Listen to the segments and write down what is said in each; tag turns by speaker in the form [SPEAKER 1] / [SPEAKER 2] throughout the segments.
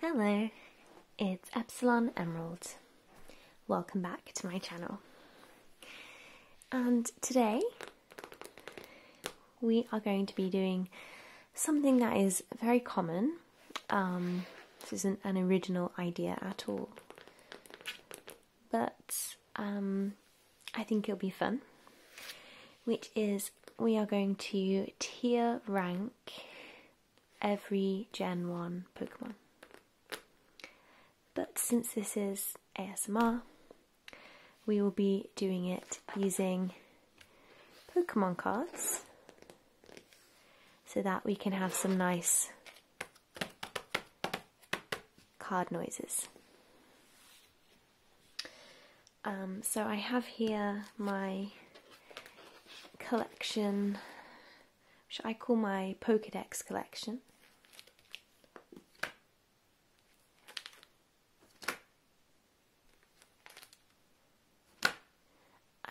[SPEAKER 1] Hello, it's Epsilon Emerald. Welcome back to my channel. And today we are going to be doing something that is very common. Um, this isn't an original idea at all, but um, I think it'll be fun, which is we are going to tier rank every Gen 1 Pokemon. But since this is ASMR, we will be doing it using Pokemon cards so that we can have some nice card noises. Um, so I have here my collection, which I call my Pokedex collection.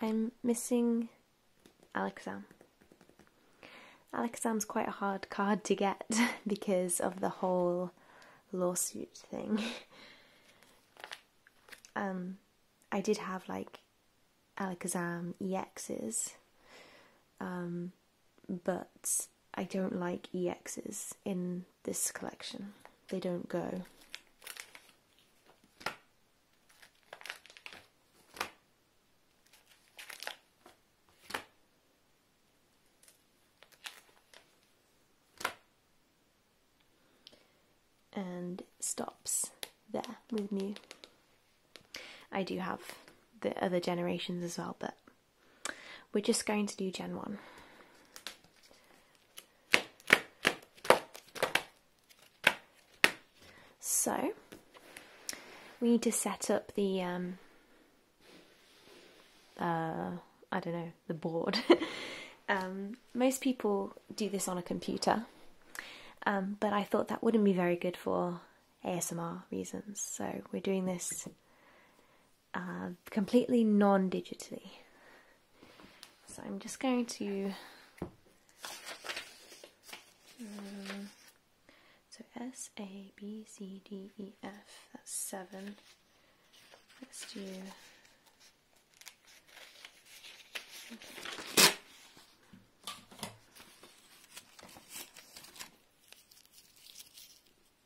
[SPEAKER 1] I'm missing Alakazam. Alakazam's quite a hard card to get because of the whole lawsuit thing. Um, I did have like Alakazam EXs, um, but I don't like EXs in this collection. They don't go and stops there with me. I do have the other generations as well, but we're just going to do Gen 1. So, we need to set up the um, uh, I don't know, the board. Um, most people do this on a computer, um, but I thought that wouldn't be very good for ASMR reasons, so we're doing this uh, completely non digitally. So I'm just going to. Mm, so S, A, B, C, D, E, F, that's seven. Let's do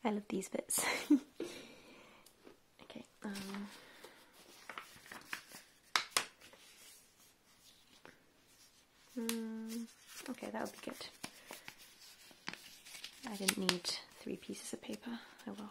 [SPEAKER 1] I love these bits. okay, um, hmm, okay, that would be good. I didn't need three pieces of paper. I will.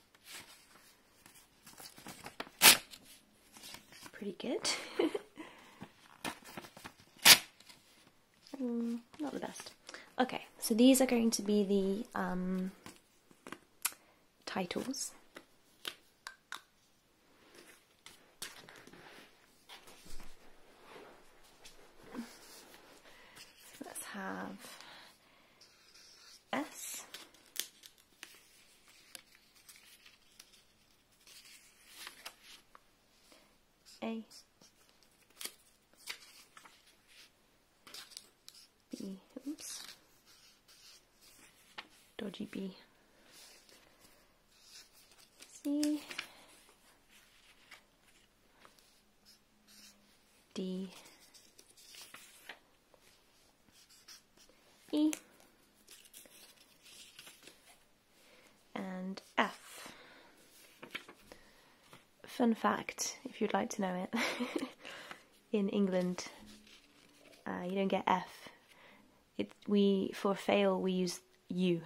[SPEAKER 1] Pretty good. Mm, not the best. Okay, so these are going to be the um, titles. let's have S. A. B. Oops. Dodgy B. C. D E and F. Fun fact, if you'd like to know it, in England uh, you don't get F. we for fail we use U.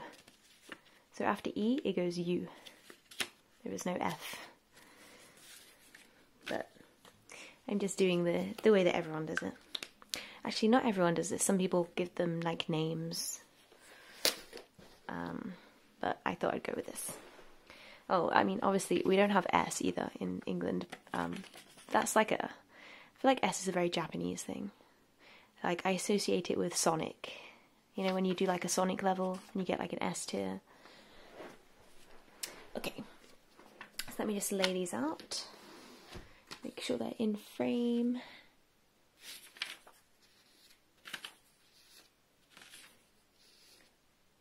[SPEAKER 1] So after E it goes U. There is no F. But I'm just doing the, the way that everyone does it. Actually, not everyone does this. Some people give them, like, names. Um, but I thought I'd go with this. Oh, I mean, obviously, we don't have S either in England. Um, that's like a... I feel like S is a very Japanese thing. Like, I associate it with Sonic. You know, when you do, like, a Sonic level, and you get, like, an S tier. Okay, so let me just lay these out, make sure they're in frame.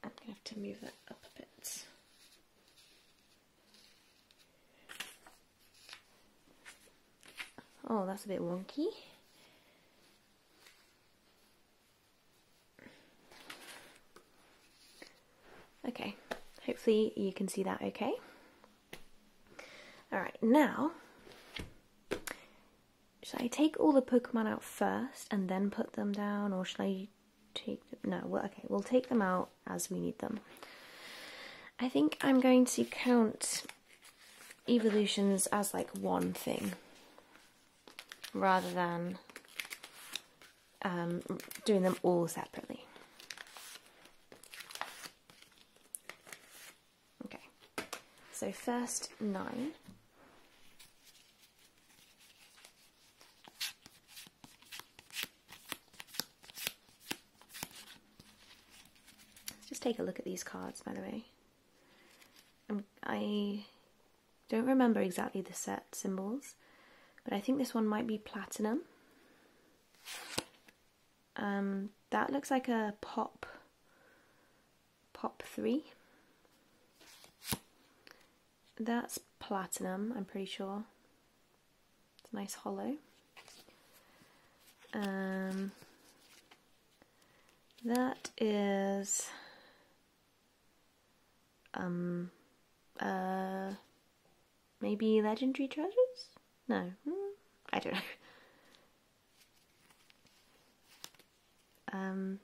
[SPEAKER 1] I'm going to have to move that up a bit. Oh, that's a bit wonky. Okay, hopefully you can see that okay. Alright, now, should I take all the Pokemon out first and then put them down, or should I take them? No, well, okay, we'll take them out as we need them. I think I'm going to count evolutions as like one thing rather than um, doing them all separately. Okay, so first just take a look at these cards, by the way. Um, I don't remember exactly the set symbols, but I think this one might be platinum. Um, that looks like a pop, pop three. That's platinum, I'm pretty sure. It's nice hollow. Um, that is um, uh, maybe legendary treasures? No, hmm, I don't know. Um,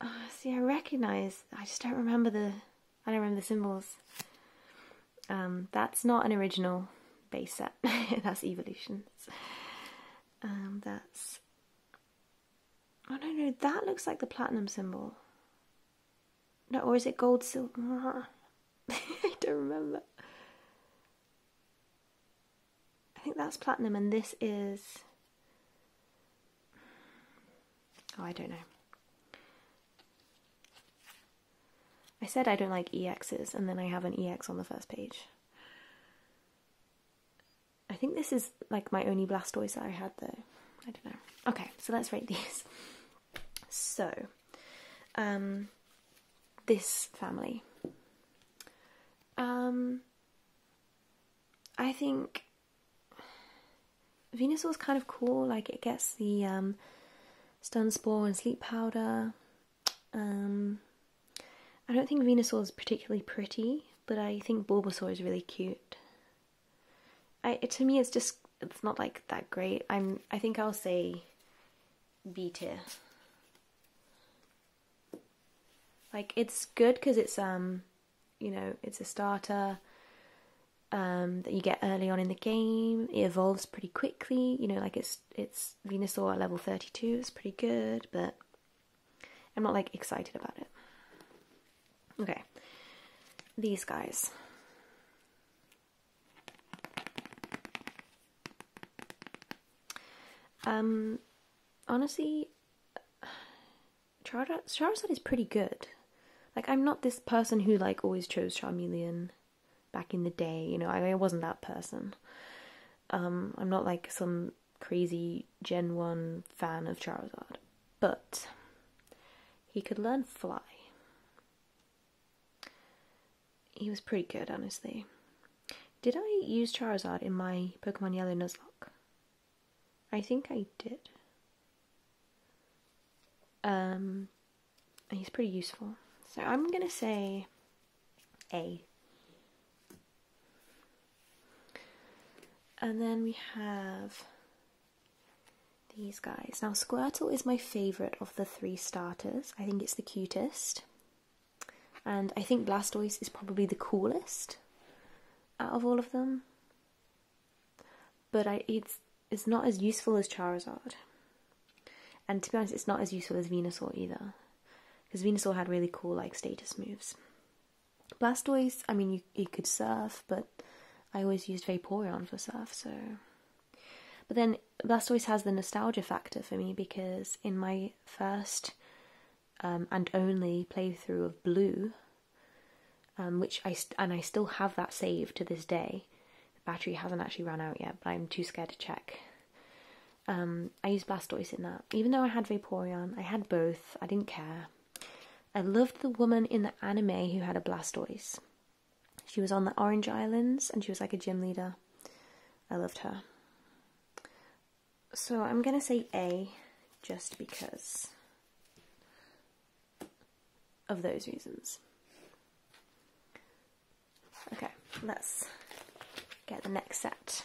[SPEAKER 1] oh, see, I recognize. I just don't remember the. I don't remember the symbols. Um, that's not an original base set. that's evolutions. Um, that's Oh no, no, that looks like the platinum symbol. No, or is it gold, silver? I don't remember. I think that's platinum, and this is. Oh, I don't know. I said I don't like exes, and then I have an EX on the first page. I think this is like my only Blastoise that I had though. I don't know. Okay, so let's rate these. So, um, this family. Um, I think Venusaur's kind of cool. Like it gets the um, stun spore and sleep powder. Um, I don't think Venusaur is particularly pretty, but I think Bulbasaur is really cute. to me it's just it's not like that great. I'm I think I'll say B tier. Like it's good because it's um you know it's a starter um, that you get early on in the game. It evolves pretty quickly. You know like it's it's Venusaur at level thirty two. is pretty good, but I'm not like excited about it. Okay. These guys. Um, honestly, Char Charizard is pretty good. Like, I'm not this person who, like, always chose Charmeleon back in the day, you know, I, I wasn't that person. Um, I'm not like some crazy Gen 1 fan of Charizard, but he could learn Fly. He was pretty good, honestly. Did I use Charizard in my Pokemon Yellow Nuzlocke? I think I did. Um, he's pretty useful. So I'm gonna say A. And then we have these guys. Now, Squirtle is my favourite of the three starters. I think it's the cutest. And I think Blastoise is probably the coolest out of all of them. But it's, it's not as useful as Charizard. And to be honest, it's not as useful as Venusaur either. Because Venusaur had really cool, like, status moves. Blastoise, I mean, you, could surf, but I always used Vaporeon for surf, so. But then Blastoise has the nostalgia factor for me because in my first um, and only playthrough of Blue, um, which I and I still have that saved to this day. The battery hasn't actually ran out yet, but I'm too scared to check. Um, I used Blastoise in that. Even though I had Vaporeon, I had both. I didn't care. I loved the woman in the anime who had a Blastoise. She was on the Orange Islands and she was like a gym leader. I loved her. So I'm going to say A just because of those reasons. Okay, let's get the next set.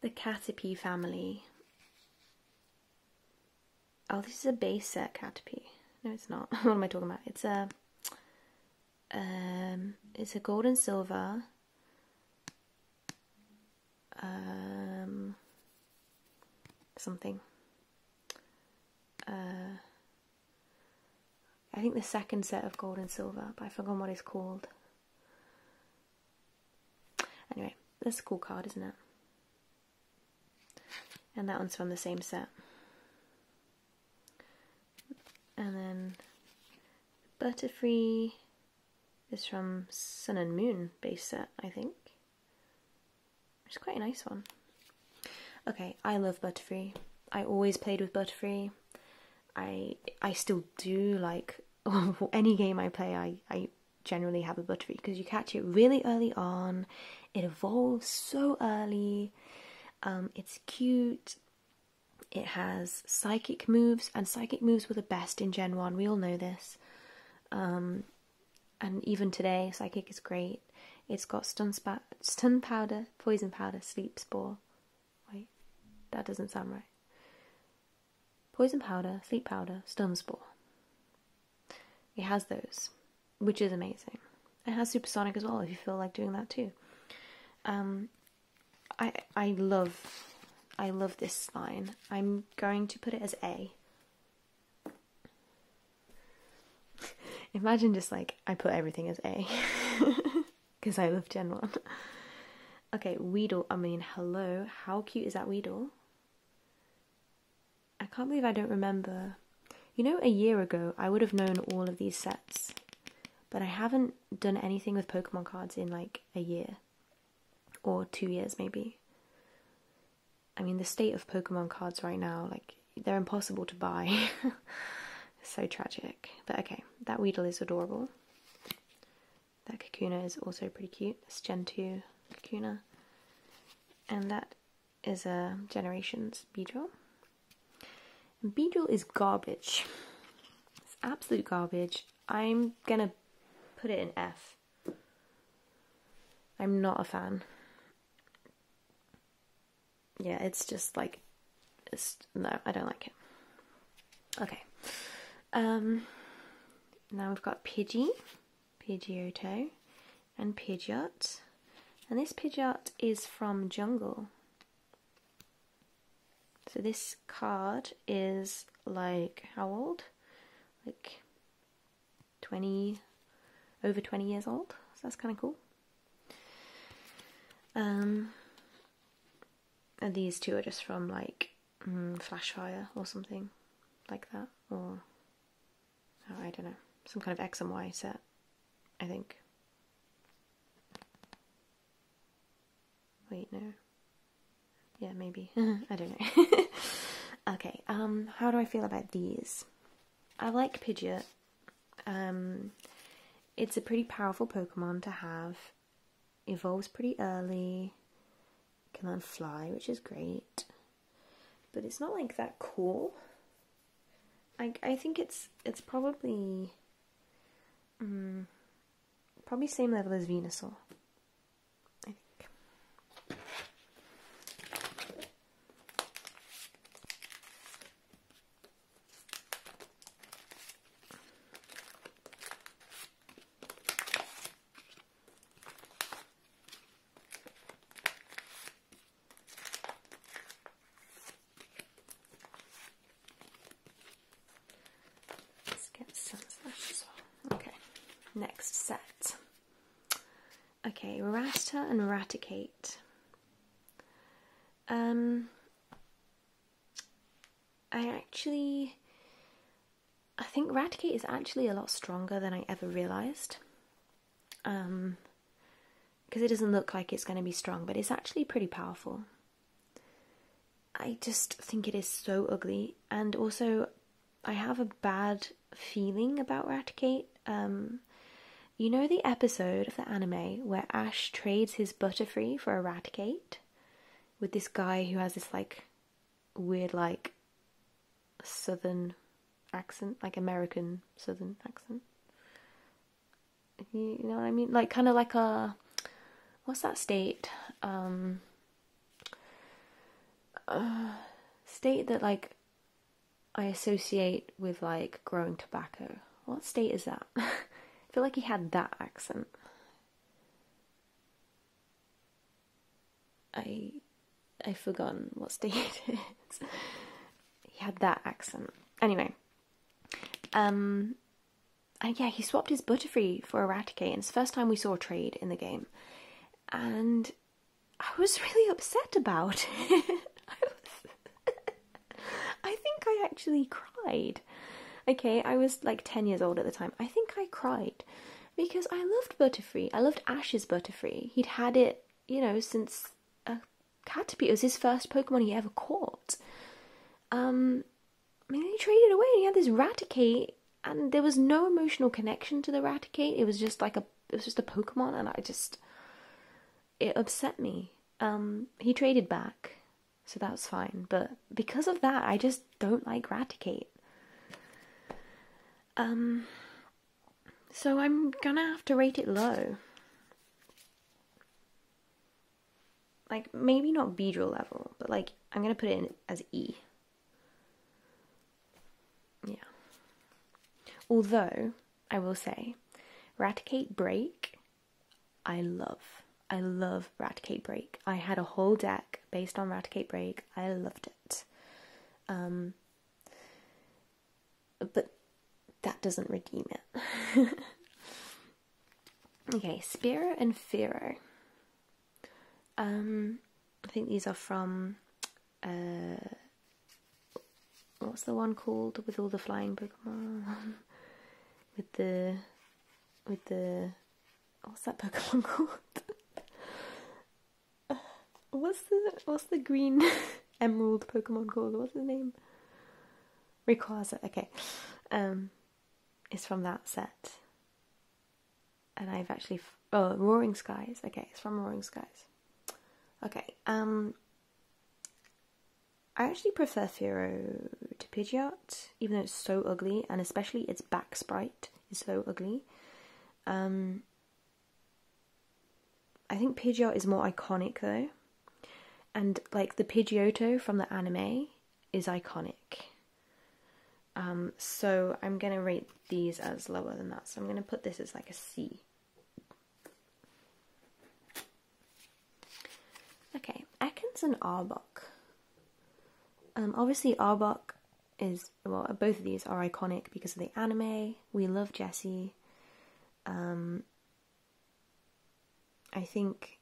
[SPEAKER 1] the Caterpie family. Oh, this is a base set Caterpie. No, it's not. what am I talking about? It's a um, it's a gold and silver. Um, something. Uh, I think the second set of gold and silver, but i forgot what it's called. Anyway, that's a cool card, isn't it? And that one's from the same set. And then Butterfree is from Sun and Moon base set, I think. It's quite a nice one. Okay, I love Butterfree. I always played with Butterfree. I I still do like any game I play, I, I generally have a buttery because you catch it really early on, it evolves so early, um, it's cute, it has psychic moves, and psychic moves were the best in Gen 1, we all know this. Um, and even today, psychic is great. It's got stun, spa- stun powder, poison powder, sleep spore, Wait, that doesn't sound right. Poison powder, sleep powder, stun spore. It has those, which is amazing. It has supersonic as well if you feel like doing that too. Um, I I love I love this line. I'm going to put it as A. Imagine just like I put everything as A. because I love Gen 1. okay, Weedle. I mean, hello. How cute is that Weedle? I can't believe I don't remember. You know, a year ago, I would have known all of these sets, but I haven't done anything with Pokemon cards in like a year or two years, maybe. I mean, the state of Pokemon cards right now, like, they're impossible to buy. so tragic. But okay, that Weedle is adorable. That Kakuna is also pretty cute. This Gen 2 Kakuna. And that is a Generations Beedrill. And Beedrill is garbage. It's absolute garbage. I'm gonna put it in F. I'm not a fan. Yeah, it's just like, no, I don't like it. Okay. Um, now we've got Pidgey, Pidgeotto, and Pidgeot. And this Pidgeot is from Jungle. So this card is like how old? Like 20, over 20 years old. So that's kind of cool. Um, and these two are just from like Mm, Flashfire or something like that, or oh, I don't know, some kind of X and Y set, I think. Wait, no. Yeah, maybe. I don't know. okay, um, how do I feel about these? I like Pidgeot. Um, it's a pretty powerful Pokemon to have evolves pretty early, can then fly, which is great, but it's not like that cool. I, I think it's it's probably um, probably same level as Venusaur. I think. Let's get some of Okay, next set. Okay, Ratter and eradicate. Um, I actually, I think Radicate is actually a lot stronger than I ever realised. Um, because it doesn't look like it's going to be strong, but it's actually pretty powerful. I just think it is so ugly, and also I have a bad feeling about Raticate. Um, you know the episode of the anime where Ash trades his Butterfree for a Raticate? with this guy who has this like weird like southern accent, like American southern accent. You know what I mean? Like kind of like a what's that state? Um, uh, state that like I associate with like growing tobacco. What state is that? I feel like he had that accent. I I've forgotten what state he had that accent. Anyway. Um and yeah, he swapped his Butterfree for Eradicate, and it's the first time we saw trade in the game. And I was really upset about it. I, was I think I actually cried. Okay, I was like 10 years old at the time. I think I cried because I loved Butterfree. I loved Ash's Butterfree. He'd had it, you know, since uh, Caterpie. was his first Pokemon he ever caught. Um, I he traded away and he had this Raticate, and there was no emotional connection to the Raticate. It was just like a, it was just a Pokemon, and I just, it upset me. Um, he traded back so that's fine. But because of that, I just don't like Raticate. Um, so I'm gonna have to rate it low. Like, maybe not Beedrill level, but like, I'm gonna put it in as E. Yeah. Although, I will say, Raticate Break, I love. I love Raticate Break. I had a whole deck based on Raticate Break. I loved it. Um, but that doesn't redeem it. okay, Spiro and Fero. Um, I think these are from uh, what's the one called with all the flying Pokemon with the with the what's that Pokemon called? Uh, what's the what's the green emerald Pokemon called? What's the name? Rayquaza. Okay, um, it's from that set, and I've actually oh Roaring Skies. Okay, it's from Roaring Skies. Okay, um, I actually prefer Firo to Pidgeot even though it's so ugly, and especially its back sprite is so ugly. Um, I think Pidgeot is more iconic though, and like the Pidgeotto from the anime is iconic. Um, so I'm gonna rate these as lower than that. So I'm gonna put this as like a C. Okay, Atkins and Arbok. Um, obviously, Arbok is well. Both of these are iconic because of the anime. We love Jesse. Um, I think,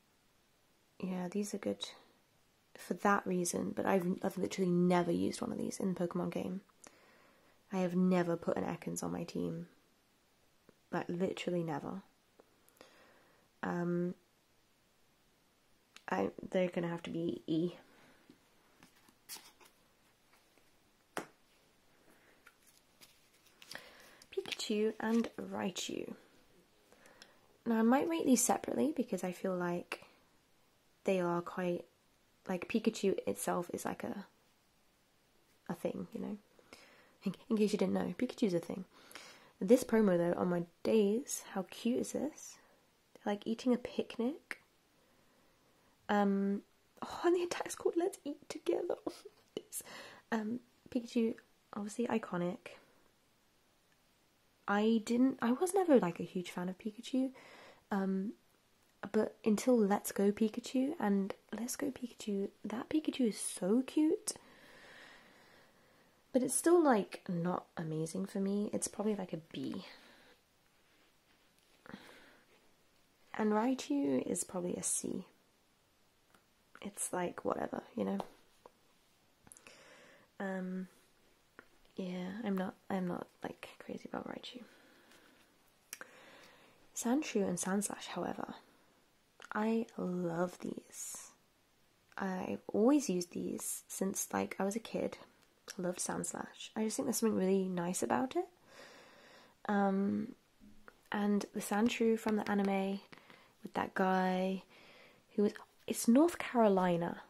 [SPEAKER 1] yeah, these are good for that reason. But I've literally never used one of these in Pokemon game. I have never put an Ekans on my team. Like literally never. Um, I they're gonna have to be E. Pikachu and Raichu. Now I might rate these separately because I feel like they are quite like Pikachu itself is like a a thing, you know. in case you didn't know, Pikachu's a thing. This promo though on my days. How cute is this? like eating a picnic. Um, oh, and the attack's called Let's Eat Together. um, Pikachu, obviously iconic. I didn't, I was never like a huge fan of Pikachu. Um, but until Let's Go Pikachu and Let's Go Pikachu, that Pikachu is so cute. But it's still like not amazing for me. It's probably like a B. And Raichu is probably a C. It's like whatever, you know. Um yeah, I'm not I'm not like crazy about Raichu. Sandshrew and Sandslash, however, I love these. I've always used these since like I was a kid. I loved Sand Slash. I just think there's something really nice about it. Um, and the Sand Sandshrew from the anime with that guy who was it's North Carolina.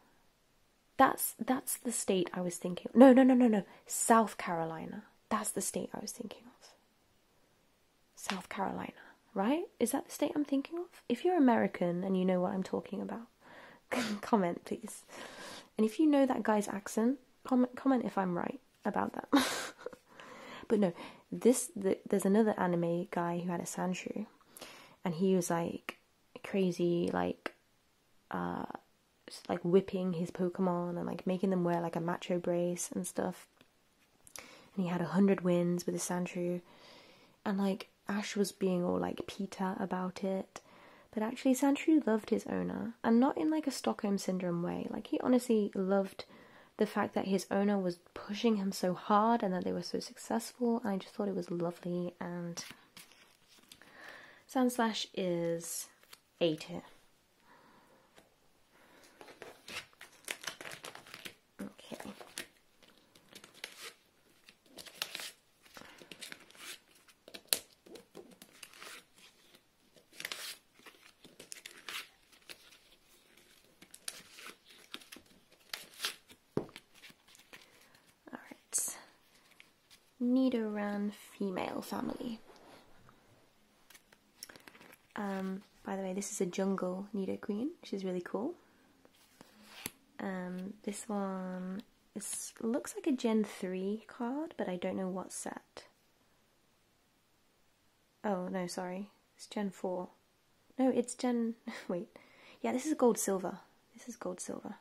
[SPEAKER 1] That's that's the state I was thinking. Of. No, no, no, no, no. South Carolina. That's the state I was thinking of. South Carolina right? Is that the state I'm thinking of? If you're American and you know what I'm talking about, comment please. And if you know that guy's accent, comment comment if I'm right about that. but no, this there's another anime guy who had a sanshu, and he was like crazy, like uh, like whipping his Pokemon and like making them wear like a macho brace and stuff. And he had a hundred wins with his sanshu, and like Ash was being all like Peter about it. But actually, Sandshrew loved his owner, and not in like a Stockholm syndrome way. Like, he honestly loved the fact that his owner was pushing him so hard and that they were so successful. I just thought it was lovely. And Sandslash is 8 here. Okay. All right. Nidoran female family. Um, by the way, this is a jungle Nido Queen. She's really cool. Um, this one looks like a Gen 3 card, but I don't know what set. Oh, no, sorry. It's Gen 4. No, it's Gen... wait. Yeah, this is gold silver. This is gold silver.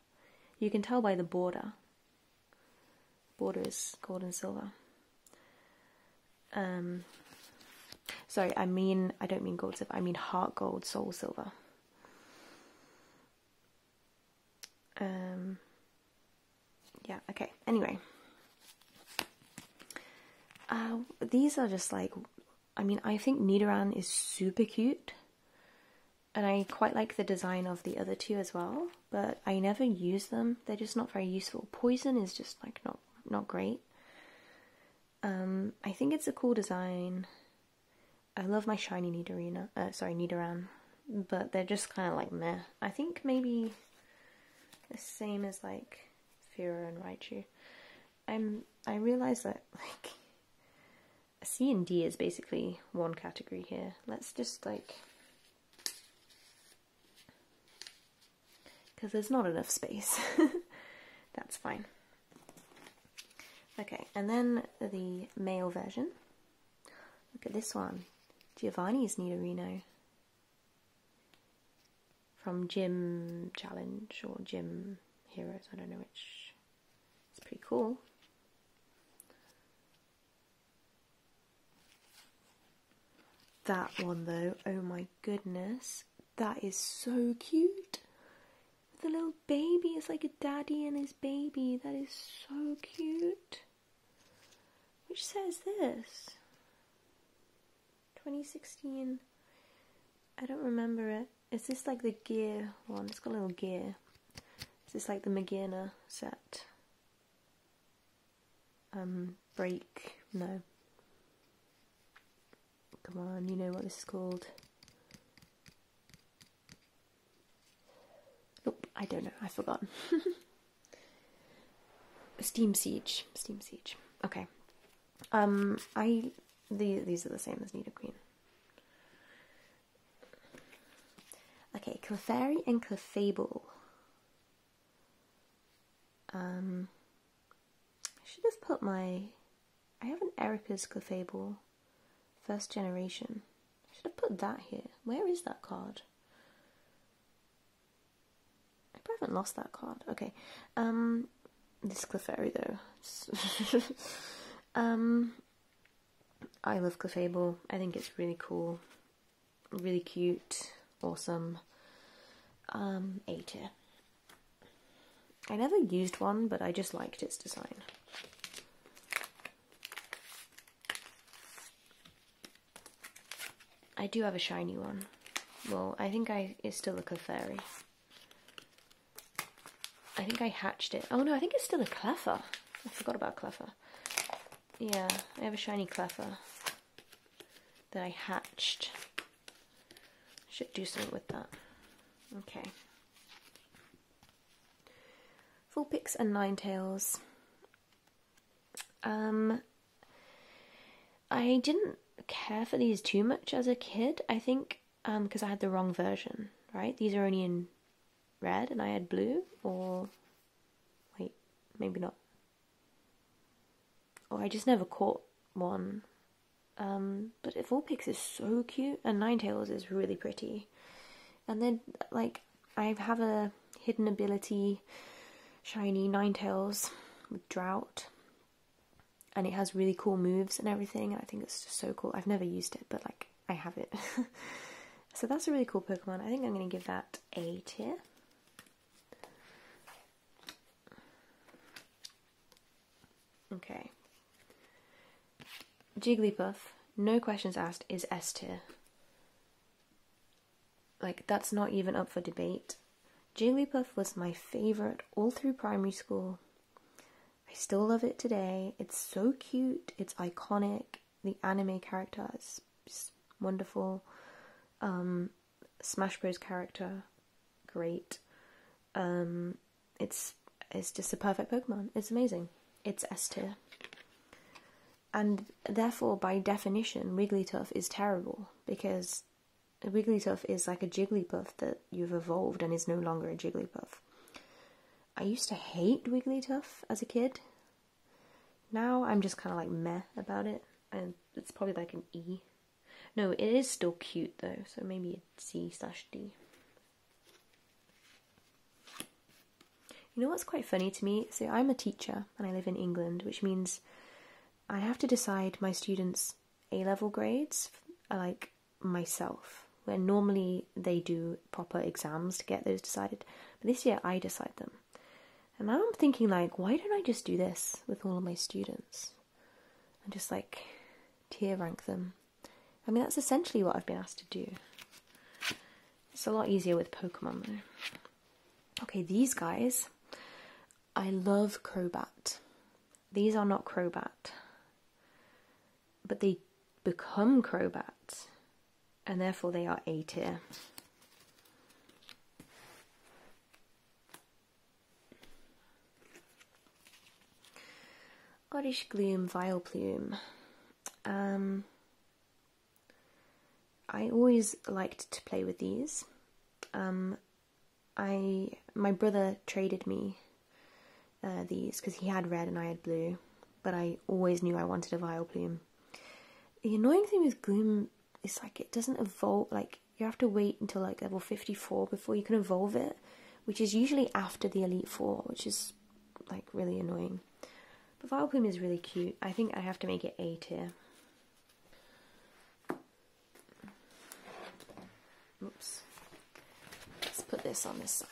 [SPEAKER 1] You can tell by the border. Border is gold and silver. Um, sorry, I mean, I don't mean gold silver. I mean heart gold, soul silver. Um, yeah, okay. Anyway. Uh, these are just like, I mean, I think Nidoran is super cute. And I quite like the design of the other two as well. But I never use them. They're just not very useful. Poison is just like not, not great. Um, I think it's a cool design. I love my shiny Nidorina, uh, sorry, Nidoran, but they're just kind of like meh. I think maybe the same as like Fira and Raichu. I'm, I realize that like C and D is basically one category here. Let's just like, because there's not enough space. That's fine. Okay, and then the male version. Look at this one. Giovanni's Nidorino. From Gym Challenge or Gym Heroes, I don't know which. It's pretty cool. That one though, oh my goodness, that is so cute. The little baby is like a daddy and his baby. That is so cute. Which says this 2016. I don't remember it. Is this like the gear one? It's got a little gear. Is this like the Magina set? Um, break? No. Come on, you know what this is called. Nope, I don't know. I've forgotten. Steam Siege. Steam Siege. Okay. Um, I... The, these are the same as Nita Queen. Okay, Clefairy and Clefable. Um, I should have put my. I have an Erica's Clefable first generation. I should have put that here. Where is that card? I haven't lost that card. Okay. Um, this Clefairy though. um, I love Clefable. I think it's really cool, really cute, awesome. Um, A tier. I never used one, but I just liked its design. I do have a shiny one. Well, I think I it's still a Clefairy. I think I hatched it. Oh no, I think it's still a Cleffa. I forgot about Cleffa. Yeah, I have a shiny Cleffa that I hatched should do something with that. Okay. Full picks and nine tails. Um, I didn't care for these too much as a kid. I think um because I had the wrong version. Right? These are only in red, and I had blue. Or wait, maybe not. Or oh, I just never caught one um, but Vulpix is so cute, and nine tails is really pretty. And then, like, I have a hidden ability, shiny nine tails, with Drought, and it has really cool moves and everything, and I think it's just so cool. I've never used it, but, like, I have it. so that's a really cool Pokemon. I think I'm going to give that A tier. Okay. Jigglypuff, no questions asked, is S tier. Like, that's not even up for debate. Jigglypuff was my favourite all through primary school. I still love it today. It's so cute, it's iconic, the anime character it's wonderful. Um, Smash Bros. character, great. Um, it's it's just a perfect Pokemon. It's amazing. It's S And therefore, by definition, Wigglytuff is terrible because Wigglytuff is like a Jigglypuff that you've evolved and is no longer a Jigglypuff. I used to hate Wigglytuff as a kid. Now I'm just kind of like meh about it, and it's probably like an E no, it is still cute though, so maybe C slash D. You know what's quite funny to me? So I'm a teacher and I live in England, which means I have to decide my students' A level grades uh, like myself, where normally they do proper exams to get those decided. But this year I decide them. And I'm thinking like, why don't I just do this with all of my students? And just like tier rank them I mean, that's essentially what I've been asked to do. It's a lot easier with Pokemon, though. Okay, these guys. I love Crobat. These are not Crobat. But they become Crobat. And therefore they are A tier. Oddish Gloom Vile Plume. Um, I always liked to play with these. Um, I my brother traded me uh, these because he had red and I had blue, but I always knew I wanted a Vile Plume. The annoying thing with Gloom is like it doesn't evolve. Like you have to wait until like level fifty four before you can evolve it, which is usually after the Elite Four, which is like really annoying. But Vileplume is really cute. I think I have to make it A tier. Oops. Let's put this on this side.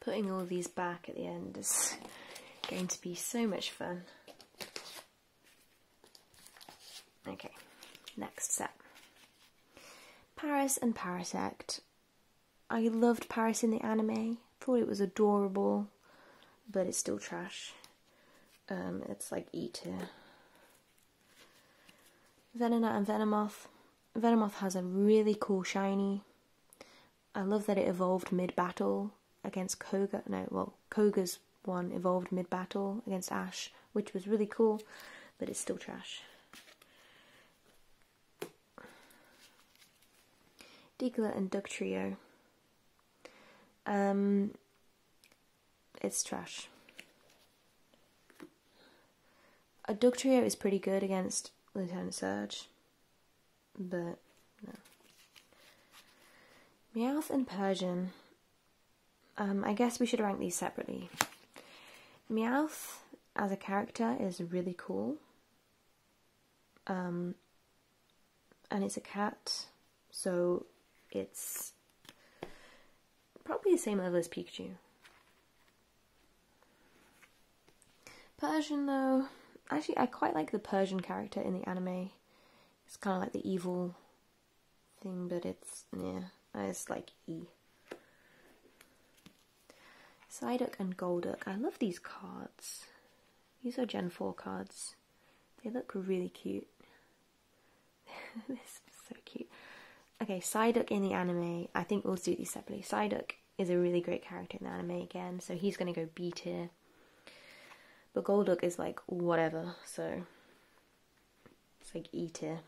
[SPEAKER 1] Putting all these back at the end is going to be so much fun. Okay, next set. Paris and Parasect. I loved Paris in the anime, thought it was adorable, but it's still trash. Um, it's like Eater, tier. Venonat and Venomoth. Venomoth has a really cool shiny. I love that it evolved mid battle against Koga. No, well, Koga's one evolved mid battle against Ash which was really cool, but it's still trash. Diglett and Duck Trio. Um, it's trash. A Duck Trio is pretty good against Lieutenant Surge, but no. Meowth and Persian. Um, I guess we should rank these separately. Meowth as a character is really cool. Um, and it's a cat, so it's probably the same level as Pikachu. Persian though, actually I quite like the Persian character in the anime. It's kind of like the evil thing, but it's, yeah, it's like E. Psyduck and Golduck. I love these cards. These are Gen 4 cards. They look really cute. this is so cute. Okay, Psyduck in the anime. I think we'll do these separately. Psyduck is a really great character in the anime again, so he's going to go B here. But Golduck is like whatever, so it's like E-tier.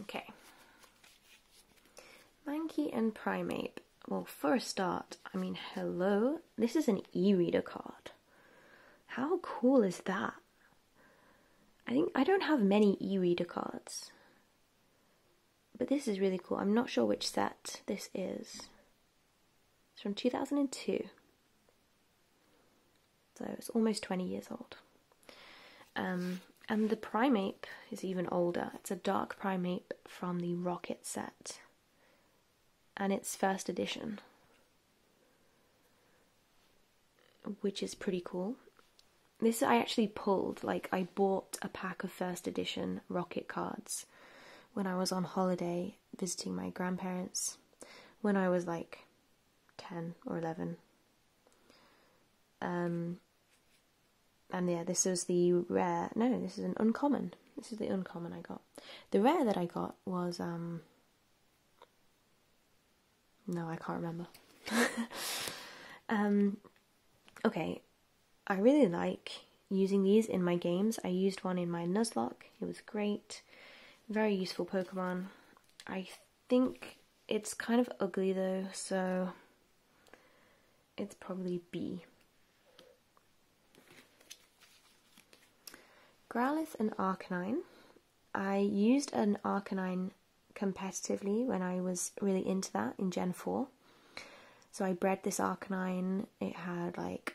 [SPEAKER 1] Okay. monkey and Primate. Well, for a start, I mean, hello. This is an e-reader card. How cool is that? I think I don't have many e-reader cards. But this is really cool. I'm not sure which set this is. It's from 2002 so it's almost 20 years old. Um, and the Primeape is even older. It's a dark Primeape from the Rocket set and its first edition, which is pretty cool. This I actually pulled, like, I bought a pack of first edition Rocket cards when I was on holiday visiting my grandparents when I was like 10 or 11. Um, and yeah, this was the rare. No, this is an uncommon. This is the uncommon I got. The rare that I got was. um No, I can't remember. um, okay, I really like using these in my games. I used one in my Nuzlocke, it was great. Very useful Pokemon. I think it's kind of ugly though, so it's probably B. Growlithe and Arcanine. I used an Arcanine competitively when I was really into that in Gen 4. So I bred this Arcanine. It had like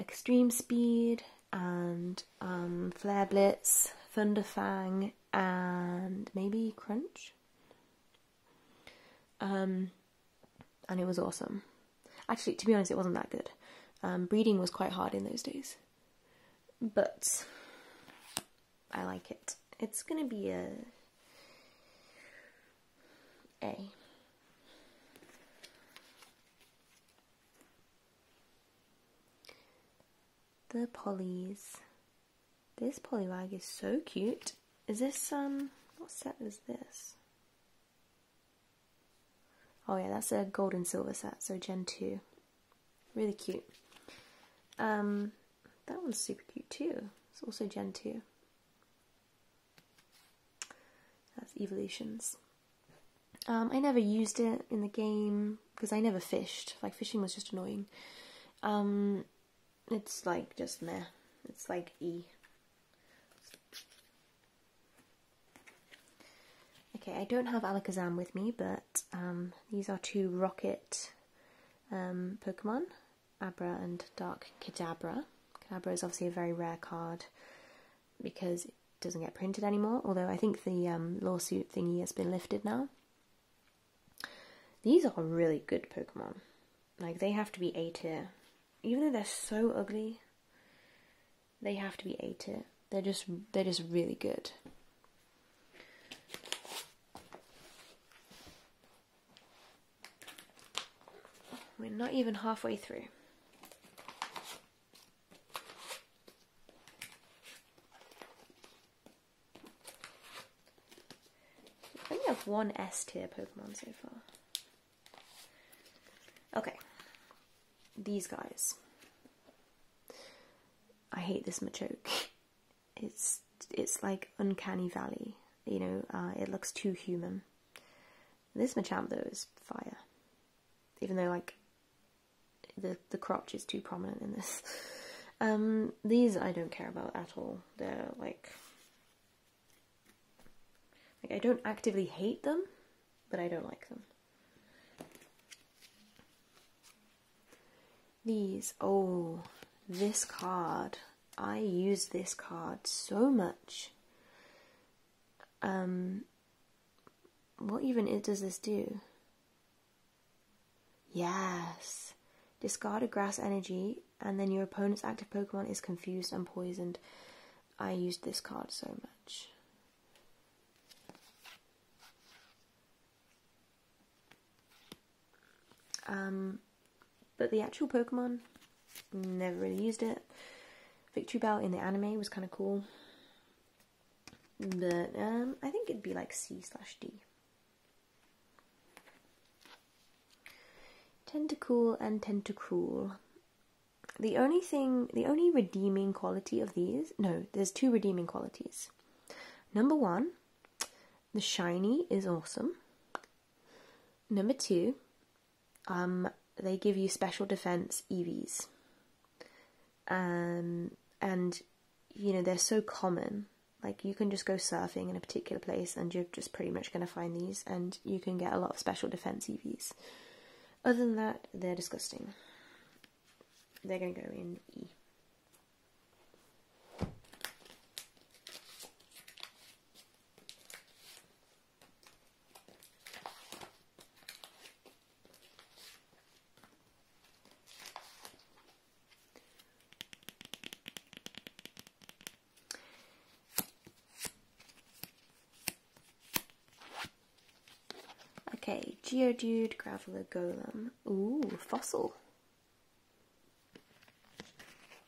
[SPEAKER 1] extreme speed, and um, Flare Blitz, Thunderfang, and maybe Crunch. Um, and it was awesome. Actually, to be honest, it wasn't that good. Um, breeding was quite hard in those days, but I like it. It's gonna be a A. The polys. This polywag is so cute. Is this, um, what set is this? Oh yeah, that's a gold and silver set, so Gen 2. Really cute. Um, that one's super cute too. It's also Gen 2. That's Evolutions. Um, I never used it in the game because I never fished. Like fishing was just annoying. Um, it's like just me. It's like E. Okay, I don't have Alakazam with me, but um, these are two rocket Pokemon, Abra and Dark Kadabra. Kadabra is obviously a very rare card because it doesn't get printed anymore, although I think the um, lawsuit thingy has been lifted now. These are really good Pokemon. Like, they have to be A tier. Even though they're so ugly, they have to be A tier. They're just, they're just really good. We're not even halfway through. I only have one S tier Pokemon so far. Okay. These guys. I hate this Machoke. It's it's like uncanny valley. You know, uh, it looks too human. This Machamp though is fire. Even though like the the crotch is too prominent in this. Um, these I don't care about at all. They're like, like I don't actively hate them, but I don't like them. These, oh, this card. I use this card so much. Um, what even does this do? Yes. Discard a grass energy, and then your opponent's active Pokemon is confused and poisoned. I used this card so much. Um, but the actual Pokemon, never really used it. Victory Bell in the anime was kind of cool. But um, I think it'd be like C slash D. Tend to cool and tend to cruel. The only thing, the only redeeming quality of these, no, there's two redeeming qualities. Number one, the shiny is awesome. Number two, um, they give you special defense EVs. Um, and you know they're so common. Like you can just go surfing in a particular place, and you're just pretty much going to find these, and you can get a lot of special defense EVs. Other than that, they're disgusting. They're going to go in E. Okay, Geodude, Graveler, Golem. Ooh, fossil.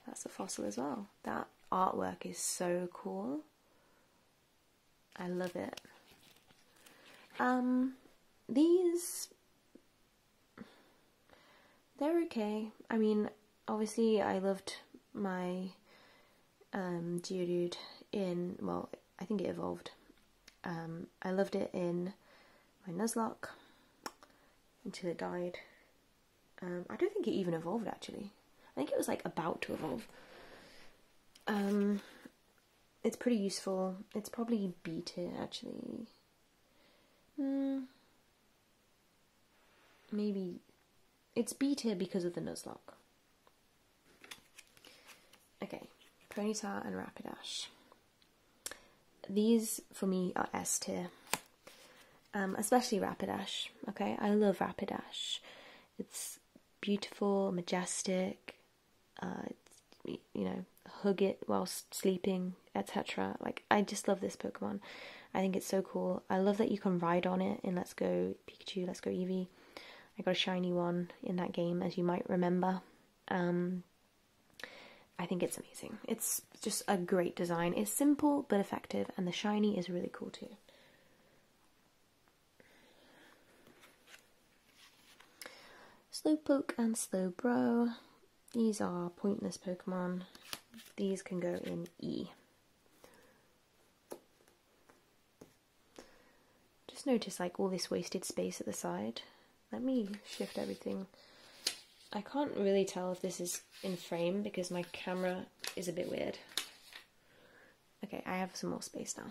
[SPEAKER 1] That's a fossil as well. That artwork is so cool. I love it. Um, these, they're okay. I mean, obviously I loved my um, Geodude in, well, I think it evolved. Um, I loved it in my Nuzlocke until it died. Um, I don't think it even evolved actually. I think it was like about to evolve. Um, it's pretty useful. It's probably B tier actually. Hmm. maybe it's B tier because of the Nuzlocke. Okay, ponytail and Rapidash. These for me are S tier. Um, especially Rapidash. Okay, I love Rapidash. It's beautiful, majestic, uh, you know, hug it whilst sleeping, etc. Like, I just love this Pokemon. I think it's so cool. I love that you can ride on it And Let's Go Pikachu, Let's Go Eevee. I got a shiny one in that game, as you might remember. Um, I think it's amazing. It's just a great design. It's simple but effective, and the shiny is really cool too. Slowpoke and Slowbro. These are pointless Pokemon. These can go in E. Just notice like all this wasted space at the side. Let me shift everything. I can't really tell if this is in frame because my camera is a bit weird. Okay, I have some more space now.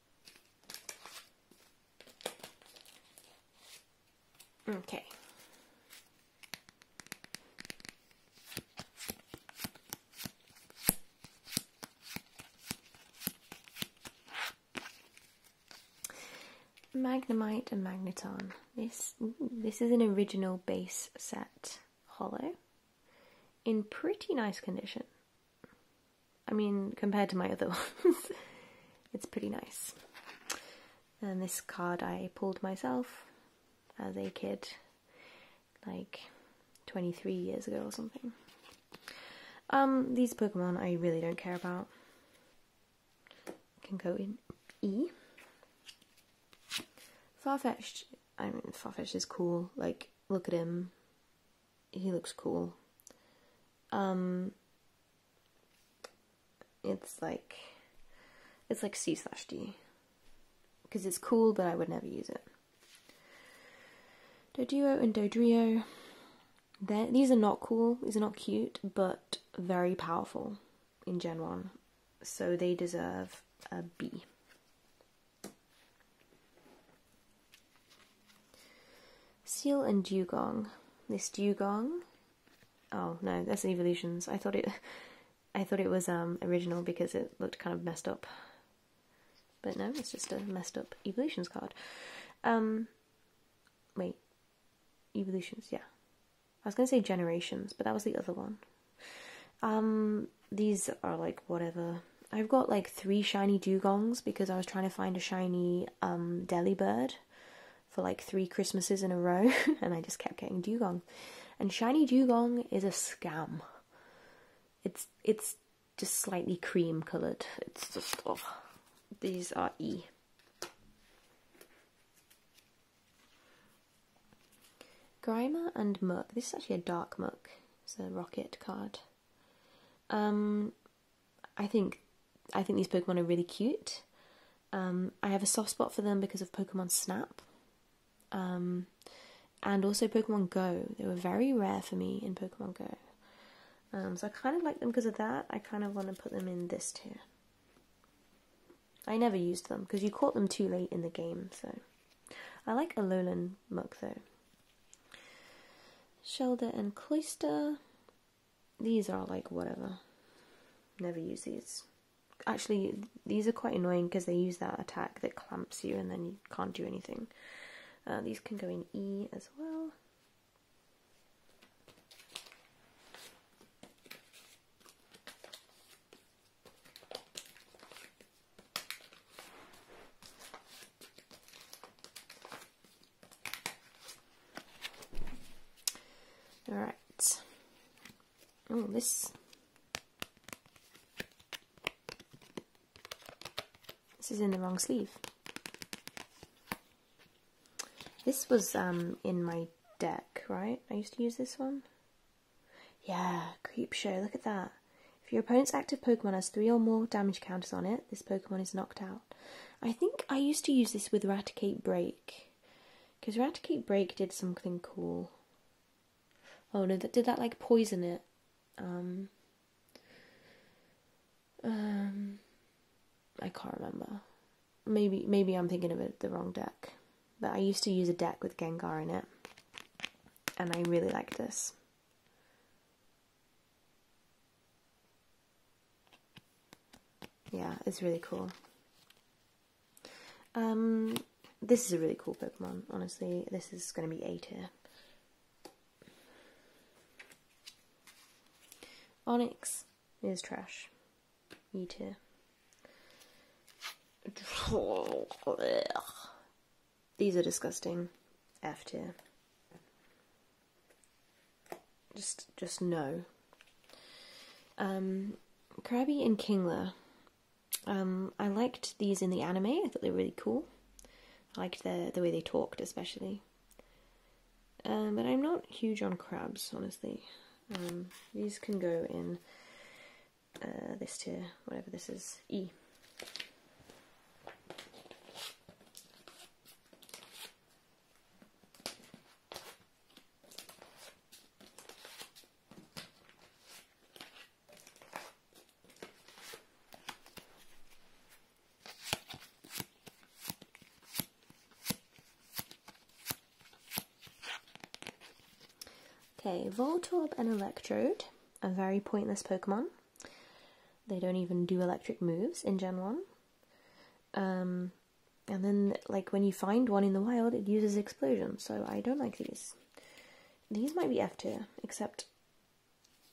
[SPEAKER 1] Okay. Magnemite and Magneton. This this is an original base set hollow in pretty nice condition. I mean, compared to my other ones, it's pretty nice. And this card I pulled myself as a kid, like 23 years ago or something. Um, these Pokemon I really don't care about. Can go in E. Farfetch'd, I mean, Farfetch'd is cool, like, look at him, he looks cool. Um, it's like it's like C slash D because it's cool, but I would never use it. Doduo and Dodrio, these are not cool, these are not cute, but very powerful in Gen 1. So they deserve a B. Seal and dugong. This dugong. Oh no, that's evolutions. I thought it. I thought it was um, original because it looked kind of messed up. But no, it's just a messed up evolutions card. Um, wait, evolutions. Yeah, I was gonna say generations, but that was the other one. Um, these are like whatever. I've got like three shiny dugongs because I was trying to find a shiny um, Delibird for like three Christmases in a row, and I just kept getting dugong. And shiny dugong is a scam. It's it's just slightly cream coloured. It's just oh, these are E. Grimer and Muck. This is actually a dark Muck. It's a rocket card. Um, I think I think these Pokemon are really cute. Um, I have a soft spot for them because of Pokemon Snap, um, and also Pokemon Go. They were very rare for me in Pokemon Go, um, so I kind of like them because of that. I kind of want to put them in this tier. I never used them because you caught them too late in the game. So I like Alolan Muk though. Shelder and Cloyster. These are like whatever. Never use these. Actually, these are quite annoying because they use that attack that clamps you and then you can't do anything. Uh, these can go in E as well. All right. Oh, this. This is in the wrong sleeve. This was um in my deck, right? I used to use this one. Yeah, creep show. Look at that. If your opponent's active Pokemon has three or more damage counters on it, this Pokemon is knocked out. I think I used to use this with Raticate Break, because Raticate Break did something cool. Oh no, that did that like poison it. Um, um I can't remember. Maybe maybe I'm thinking of the wrong deck, but I used to use a deck with Gengar in it, and I really like this. Yeah, it's really cool. Um, this is a really cool Pokemon, honestly. This is going to be A tier. Onyx is trash. E tier. These are disgusting. F tier. Just, just no. Um, Krabby and Kingler. Um, I liked these in the anime. I thought they were really cool. I liked the the way they talked, especially. Um, but I'm not huge on crabs, honestly. Um, these can go in uh, this tier, whatever this is, E. Okay, Voltorb and Electrode a very pointless Pokemon. They don't even do electric moves in Gen 1. Um, and then, like, when you find one in the wild, it uses explosion, so I don't like these. These might be F tier, except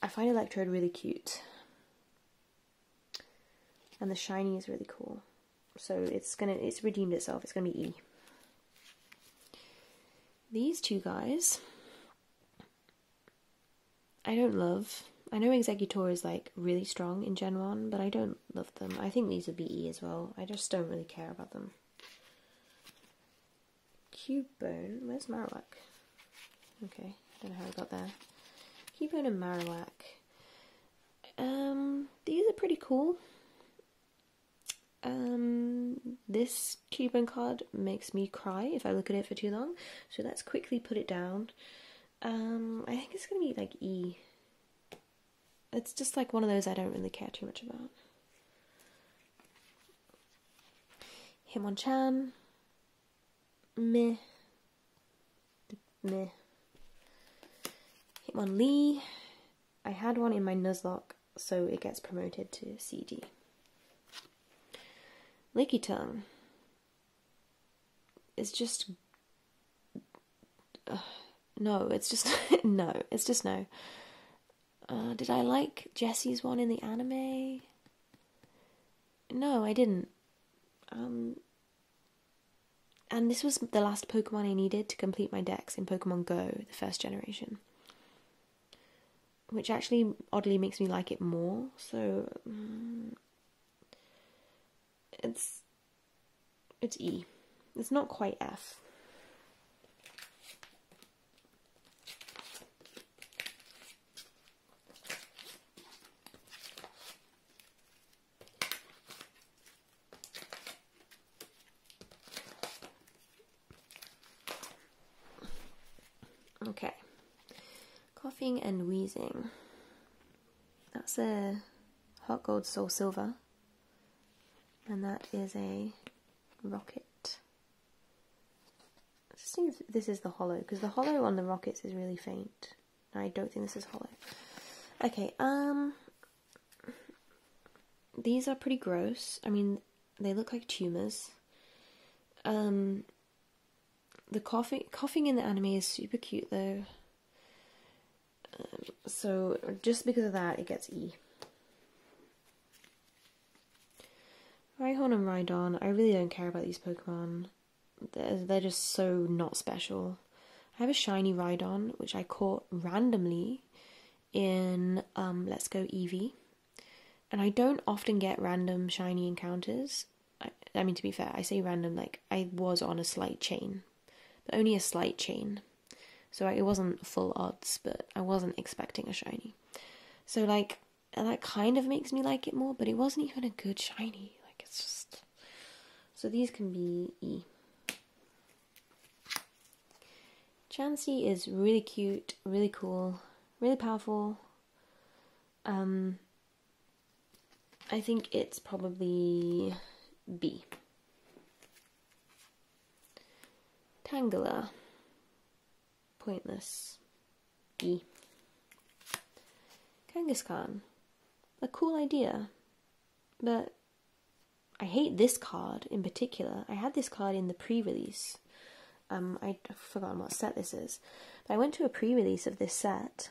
[SPEAKER 1] I find Electrode really cute. And the shiny is really cool. So it's gonna, it's redeemed itself, it's gonna be E. These two guys I don't love. I know Executor is like really strong in Gen 1, but I don't love them. I think these would BE E as well. I just don't really care about them. Cubone. Where's Marowak? Okay, I don't know how I got there. Cubone and Marowak. Um, these are pretty cool. Um, this Cubone card makes me cry if I look at it for too long, so let's quickly put it down um, I think it's gonna be like E. It's just like one of those I don't really care too much about. Himon Chan. me, Meh. Hitmon Lee. I had one in my Nuzlocke, so it gets promoted to CD. Licky Tongue it's just uh, no, it's just no, it's just no. did I like Jesse's one in the anime? No, I didn't. Um, and this was the last Pokemon I needed to complete my decks in Pokemon Go, the first generation. Which actually oddly makes me like it more, so mm, it's it's E. It's not quite F. Okay, Coughing and wheezing. That's a hot gold soul silver. And that is a rocket. I this is the hollow, because the hollow on the rockets is really faint. I don't think this is hollow. Okay, um... These are pretty gross. I mean, they look like tumours. Um, the coughing coughing in the anime is super cute though. Um, so just because of that, it gets E. Rhyhorn and Rhydon, I really don't care about these Pokemon. They're, just so not special. I have a shiny Rhydon, which I caught randomly in um, Let's Go Eevee. And I don't often get random shiny encounters, I, mean, to be fair, I say random, like, I was on a slight chain, but only a slight chain. So it wasn't full odds, but I wasn't expecting a shiny. So, like, that kind of makes me like it more, but it wasn't even a good shiny. Like, it's just. So these can be E. Chansey is really cute, really cool, really powerful. Um, I think it's probably B. Tangela. Pointless. E. Kangaskhan. A cool idea. But I hate this card in particular. I had this card in the pre-release. Um, I've forgotten what set this is. I went to a pre-release of this set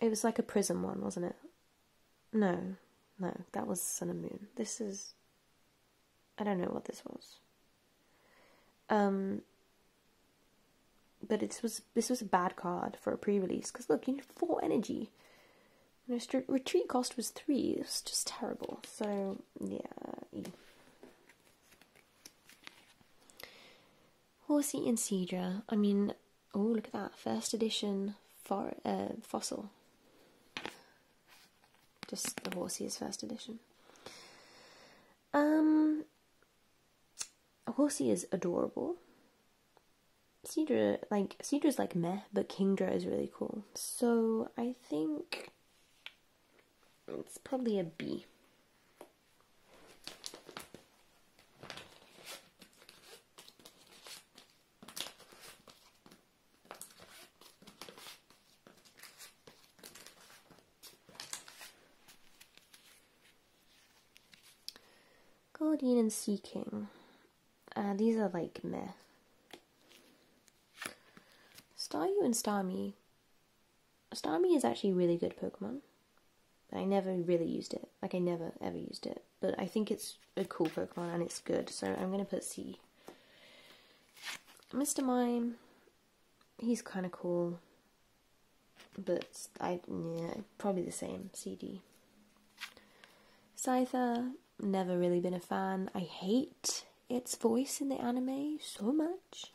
[SPEAKER 1] it was like a prism one, wasn't it? No, no, that was Sun and Moon. This is. I don't know what this was. Um. But it was this was a bad card for a pre-release because look, you need four energy. And retreat cost was three. It was just terrible. So yeah. Horsey and Cedra. I mean, oh, look at that. First edition for, uh, fossil. Just the Horsey's first edition. Um, Horsey is adorable. Cedra, like, Cedra's like meh, but Kingdra is really cool. So I think it's probably a B. Guardian and Sea King. Uh, these are like meh. Staryu and Starmie. Starmie is actually a really good Pokemon. But I never really used it. Like, I never, ever used it. But I think it's a cool Pokemon and it's good, so I'm going to put C. Mr. Mime, he's kind of cool. But I, yeah, probably the same, CD. Scyther, never really been a fan. I hate its voice in the anime so much.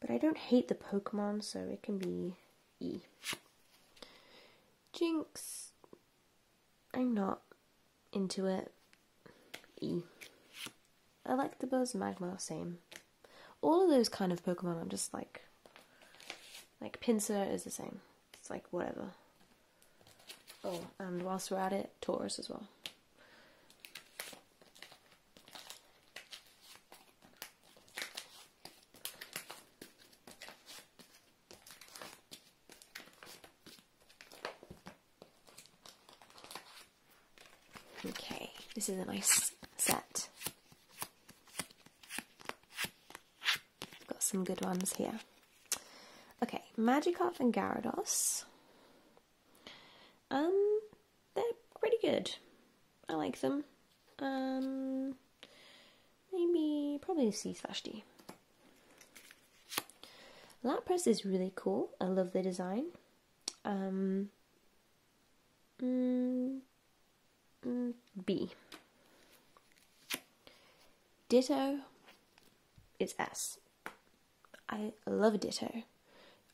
[SPEAKER 1] But I don't hate the Pokemon, so it can be E. Jinx. I'm not into it. E, I like the Buzz, Magmar, same. All of those kind of Pokemon, I'm just like, like Pinsir is the same. It's like whatever. Oh, and whilst we're at it, Taurus as well. Okay, this is a nice set. got some good ones here. Okay, Magikarp and Gyarados. Um, they're pretty good. I like them. Um, maybe probably C slash D. Lapress is really cool. I love the design. Um, mm, mm, B. Ditto It's S. I love Ditto.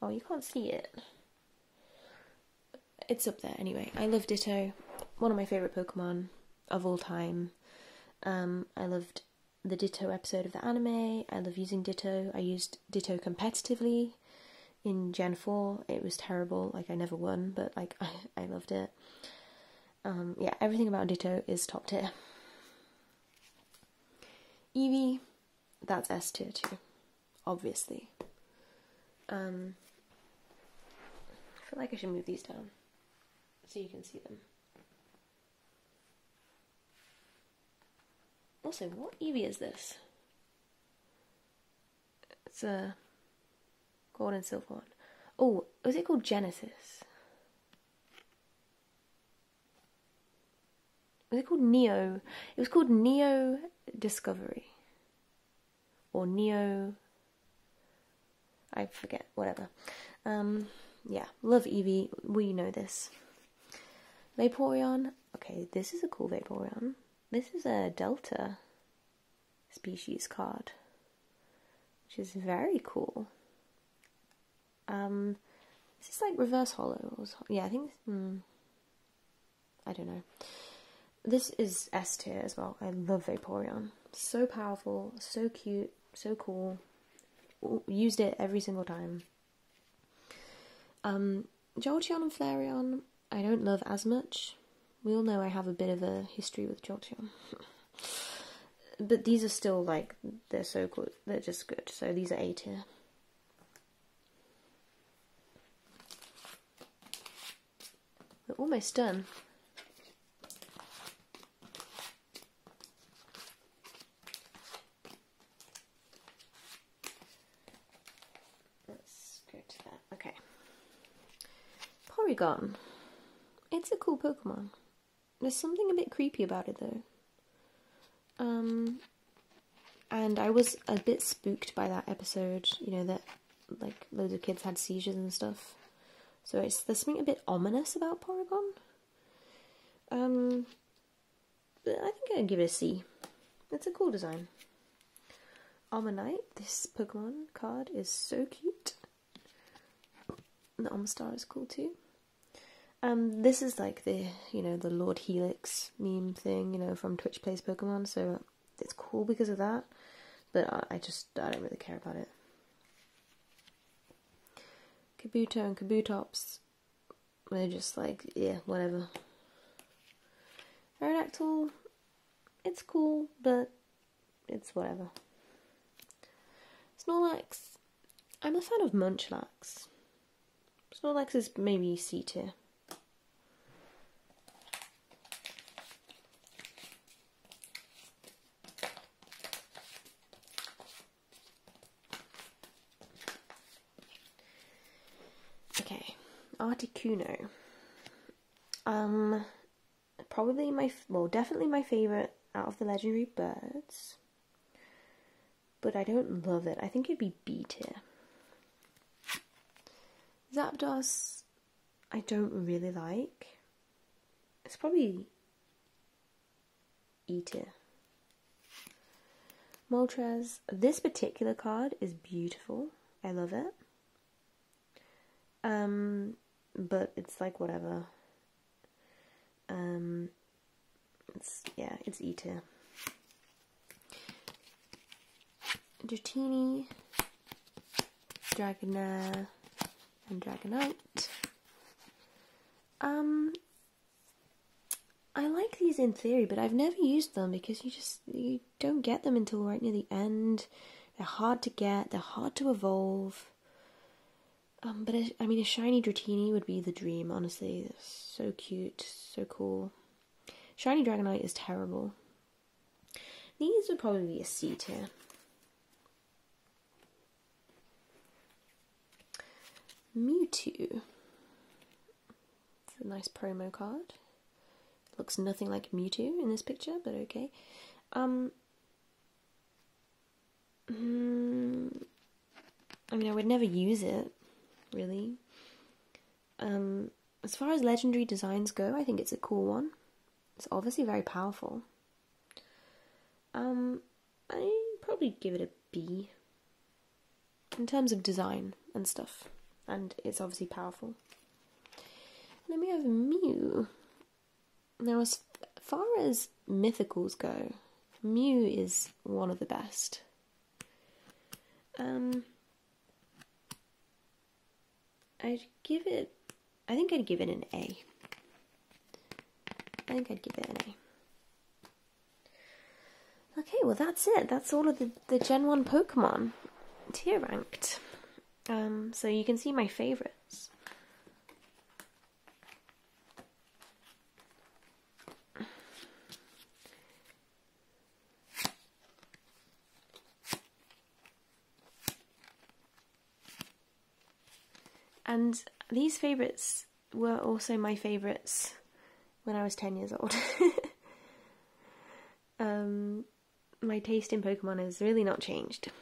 [SPEAKER 1] Oh, you can't see it it's up there anyway. I love Ditto, one of my favourite Pokemon of all time. Um, I loved the Ditto episode of the anime. I love using Ditto. I used Ditto competitively in Gen 4. It was terrible. Like, I never won, but, like, I, I loved it. Um, yeah, everything about Ditto is top tier. Eevee, that's S tier too obviously. Um, I feel like I should move these down so you can see them. Also, what Eevee is this? It's a gold and silver one. Oh, was it called Genesis? Was it called Neo? It was called Neo Discovery or Neo. I forget, whatever. Um, yeah, love Eevee, we know this. Vaporeon, okay, this is a cool Vaporeon. This is a Delta species card, which is very cool. Um, this is like reverse Hollows. yeah, I think. Hmm. I don't know. This is S tier as well. I love Vaporeon. So powerful, so cute, so cool. Used it every single time. Um, and Flareon, I don't love as much. We all know I have a bit of a history with Jolteon. but these are still like, they're so good. They're just good. So these are A tier. We're almost done. Let's go to that. Okay. Porygon. It's a cool Pokemon. There's something a bit creepy about it though. Um, and I was a bit spooked by that episode, you know, that like loads of kids had seizures and stuff. So it's there's something a bit ominous about Porygon. Um, I think I'd give it a C. It's a cool design. Almanite, this Pokemon card is so cute. The Omstar is cool too. Um, this is like the you know the Lord Helix meme thing you know from Twitch Plays Pokemon. So it's cool because of that, but I just I don't really care about it. Kabuto and Kabutops, they're just like yeah whatever. Aerodactyl, it's cool, but it's whatever. Snorlax, I'm a fan of Munchlax. Snorlax is maybe C tier. Okay, Articuno. Um, probably my, well, definitely my favourite out of the legendary birds. But I don't love it. I think it'd be B tier. Zapdos, I don't really like. It's probably Eater. Moltres, this particular card is beautiful. I love it. Um, but it's like whatever. Um, yeah, it's Eater. Dratini, Dragonair, and Dragonite. Um, I like these in theory, but I've never used them because you just you don't get them until right near the end. They're hard to get. They're hard to evolve. Um, but I, mean, a shiny Dratini would be the dream. Honestly, so cute, so cool. Shiny Dragonite is terrible. These would probably be a C tier. Mewtwo. It's nice promo card. Looks nothing like Mewtwo in this picture, but okay. Um, hmm, I mean, I would never use it, really. Um, as far as legendary designs go, I think it's a cool one. It's obviously very powerful. Um, I probably give it a B in terms of design and stuff, and it's obviously powerful. then we have Mew. Now, as far as mythicals go, Mew is one of the best. Um, I'd give it, I think I'd give it an A. I think I'd give it an A. Okay, well that's it. That's all of the, the Gen 1 Pokemon tier ranked. Um, so you can see my favourites. And these favourites were also my favourites when I was 10 years old. Um, my taste in Pokemon has really not changed.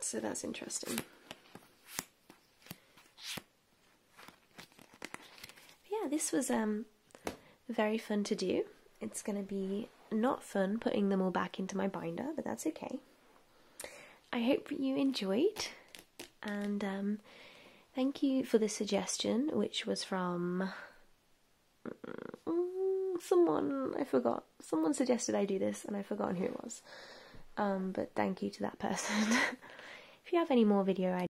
[SPEAKER 1] So that's interesting yeah, this was um, very fun to do. It's going to be not fun putting them all back into my binder, but that's okay. I hope you enjoyed, and um, thank you for the suggestion, which was from mm, someone I forgot. Someone suggested I do this, and I've forgotten who it was. Um, but thank you to that person. if you have any more video ideas.